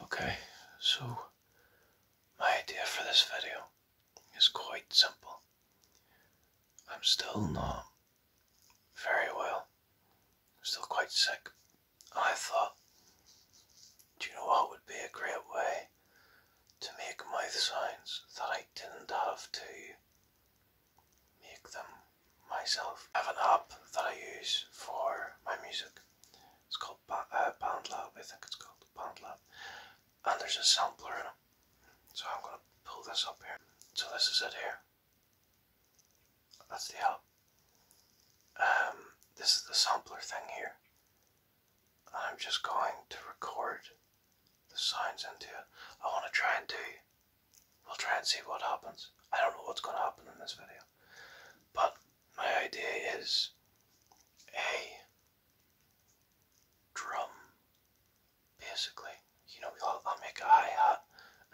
Okay, so my idea for this video is quite simple. I'm still not very well. still quite sick. I thought, do you know what would be a great way to make mouth sounds that I didn't have to make them myself? I have an app that I use for my music. It's called uh, Pound I think it's called Pound Love. And there's a sampler in it. So I'm going to pull this up here. So this is it here. That's the help. Um, this is the sampler thing here. And I'm just going to record the sounds into it. I want to try and do, we'll try and see what happens. I don't know what's going to happen in this video. But my idea is a drum, basically. You know, we will make a hi-hat,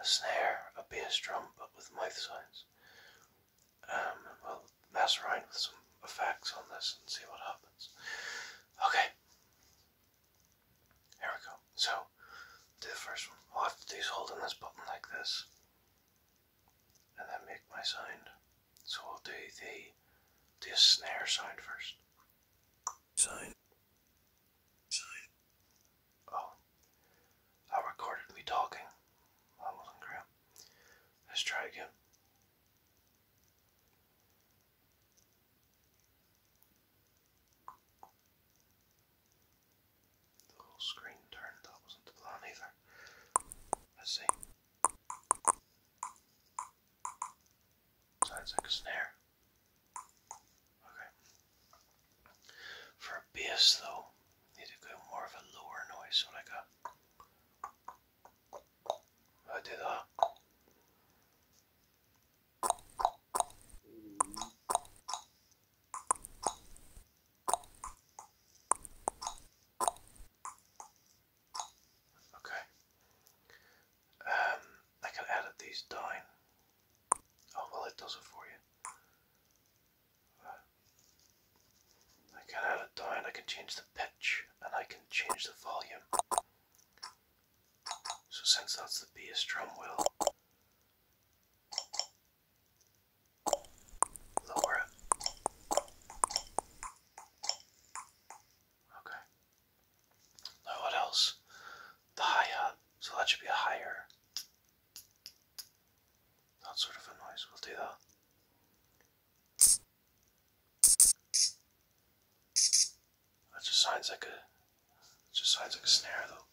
a snare, a bass drum, but with mouth sounds. and um, we'll mess around with some effects on this and see what happens. Okay. Here we go. So, do the first one. I'll have to do is holding this button like this and then make my sound. So I'll do the the snare sign first. Sound. Sound. Oh, I recorded me talking. That wasn't great. Let's try again the whole screen turned. That wasn't the plan either. Let's see. Sounds snare. Okay. For bass though, need to go more of a lower noise, so like a I do that. Okay. Um, I can edit these down. Oh well, it does it for you. I can add down, I can change the pitch, and I can change the volume. So since that's the bass drum wheel, Lower Okay. Now what else? The hi uh, So that should be a higher. That sort of a noise. We'll do that. That just sounds like a just sounds like a snare though.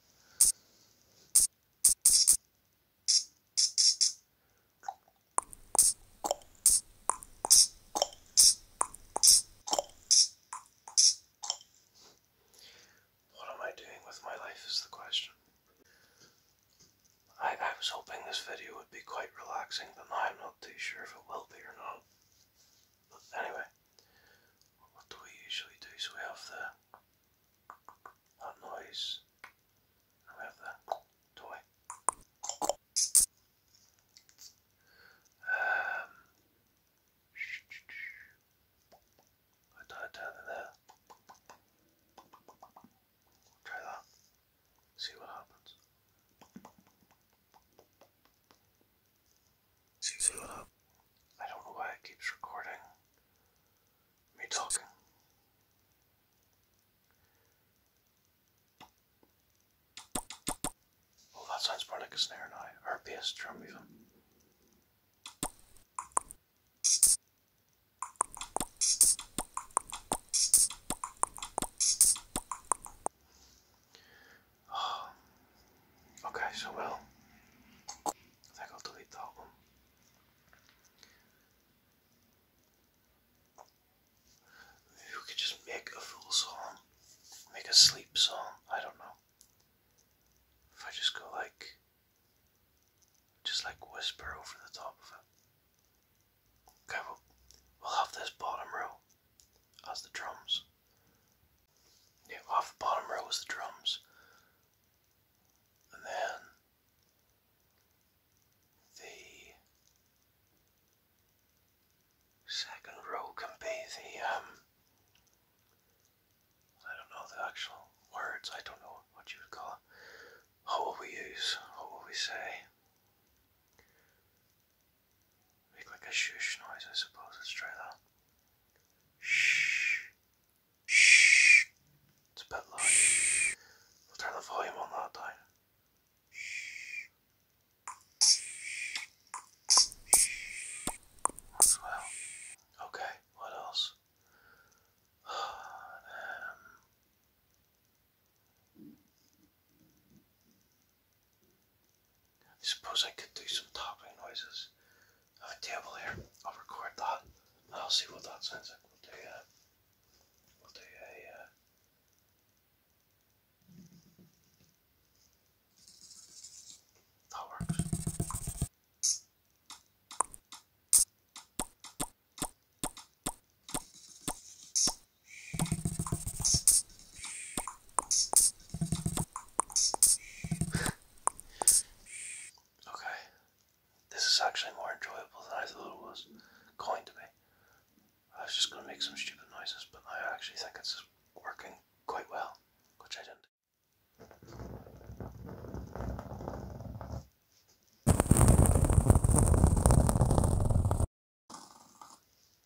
What am I doing with my life is the question. I, I was hoping this video would be quite relaxing, but I'm not too sure if it will be or not. anyway, what do we usually do? So we have the that noise and we have the toy. Um I died down in there. Try that. See what happens. Seems I don't know why it keeps recording me talking. Oh, that sounds more like a snare now, or bass drum even. Okay, so well, I think I'll that one. Maybe we could just make a full song, make a sleep song. I don't know. If I just go like, just like whisper over the top of it. Okay, we'll, we'll have this bottom row as the drums. Yeah, off the bottom row was the drums. And then the second row can be the um I don't know the actual words, I don't know what you would call What will we use? What will we say? Make like a shush noise, I suppose. Let's try that. Shh. Shh. It's a bit loud. We'll turn the volume on that time. well. Okay, what else? Um, I suppose I could do some tapping noises. I have a table here. I'll record that I'll see what that sounds like. We'll do a, we'll do a, uh, that works okay, this is actually more enjoyable than I thought it was going to be. Eh? I was just going to make some stupid noises, but I actually think it's working quite well, which I didn't.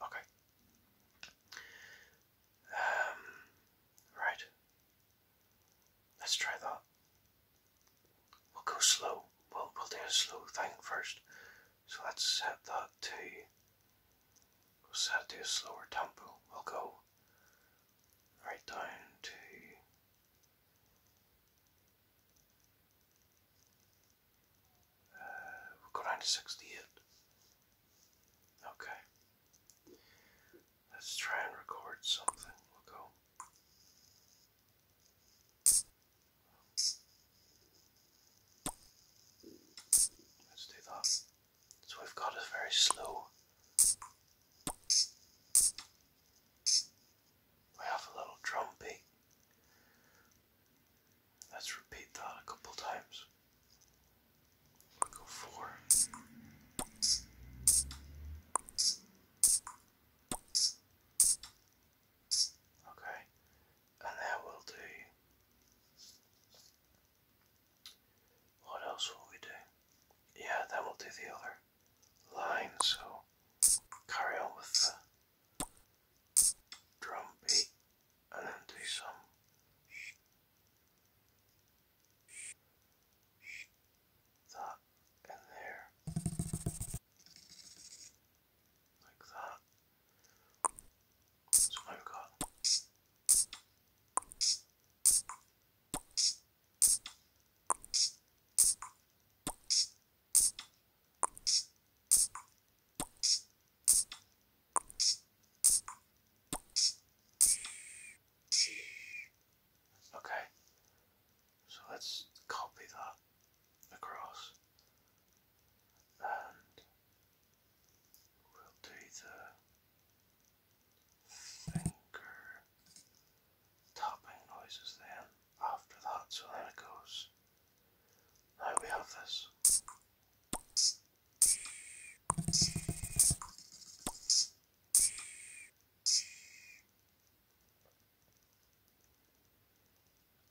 Okay. Um, right. Let's try that. We'll go slow. We'll, we'll do a slow thing first. So let's set that to. We'll set it to a slower tempo. We'll go right down to we'll go down to 68. Okay. Let's try and record something. We'll go. Let's do that. So we've got a very slow. We have a little drum beat. Let's repeat that a couple times. go four. Okay, and then we'll do. What else will we do? Yeah, then we'll do the other line, so carry on with the. Drumbeat, and then do some that in there like that. So Okay, so let's copy that across and we'll do the finger tapping noises then after that, so then it goes. Now we have this.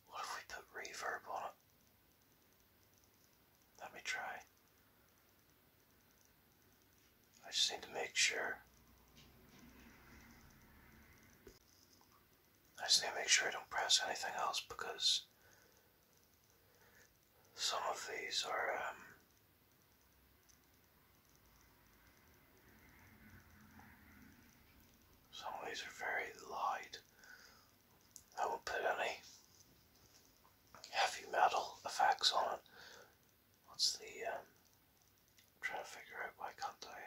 What if we put reverb on it? Let me try. I just need to make sure. I just need to make sure I don't press anything else because some of these are um, some of these are very light. I won't put any heavy metal effects on it. What's the um, I'm trying to figure out why can't I?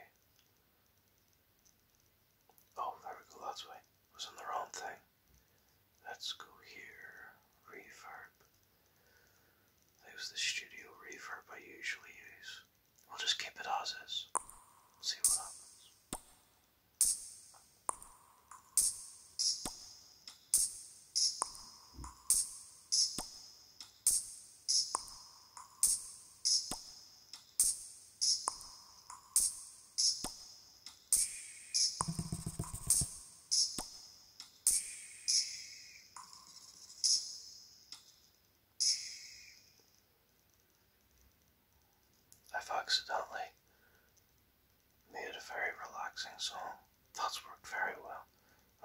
Oh, there we go. That's why. was on the wrong thing. Let's go here. Reverb. That the studio reverb I usually use. We'll just keep it as is. See what happens. I've accidentally made a very relaxing song. That's worked very well.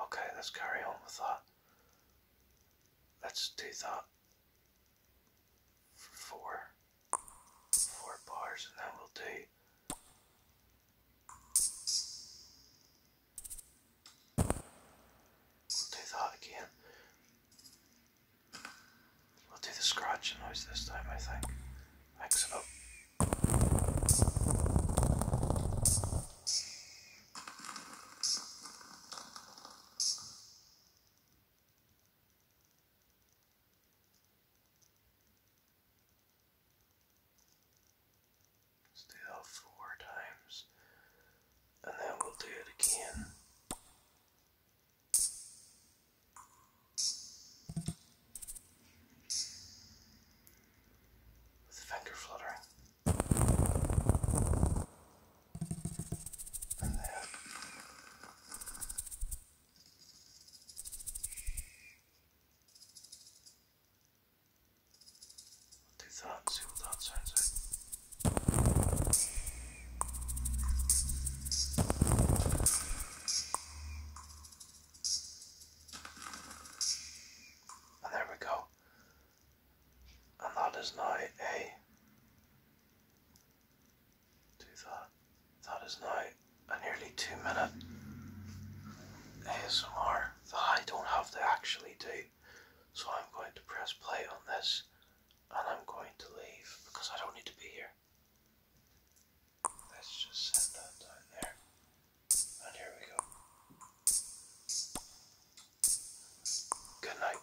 Okay, let's carry on with that. Let's do that for four, four bars, and then we'll do. We'll do that again. We'll do the scratching noise this time, I think. Mix it up. Let's do that four times and then we'll do it again with a finger fluttering. And then we'll do that and see and oh, there we go. And that is now a do that. That is now a nearly two minute ASMR that I don't have to actually do. So I'm going to press play on this and I'm going to leave because I don't need to be here. Let's just set that down there. And here we go. Good night.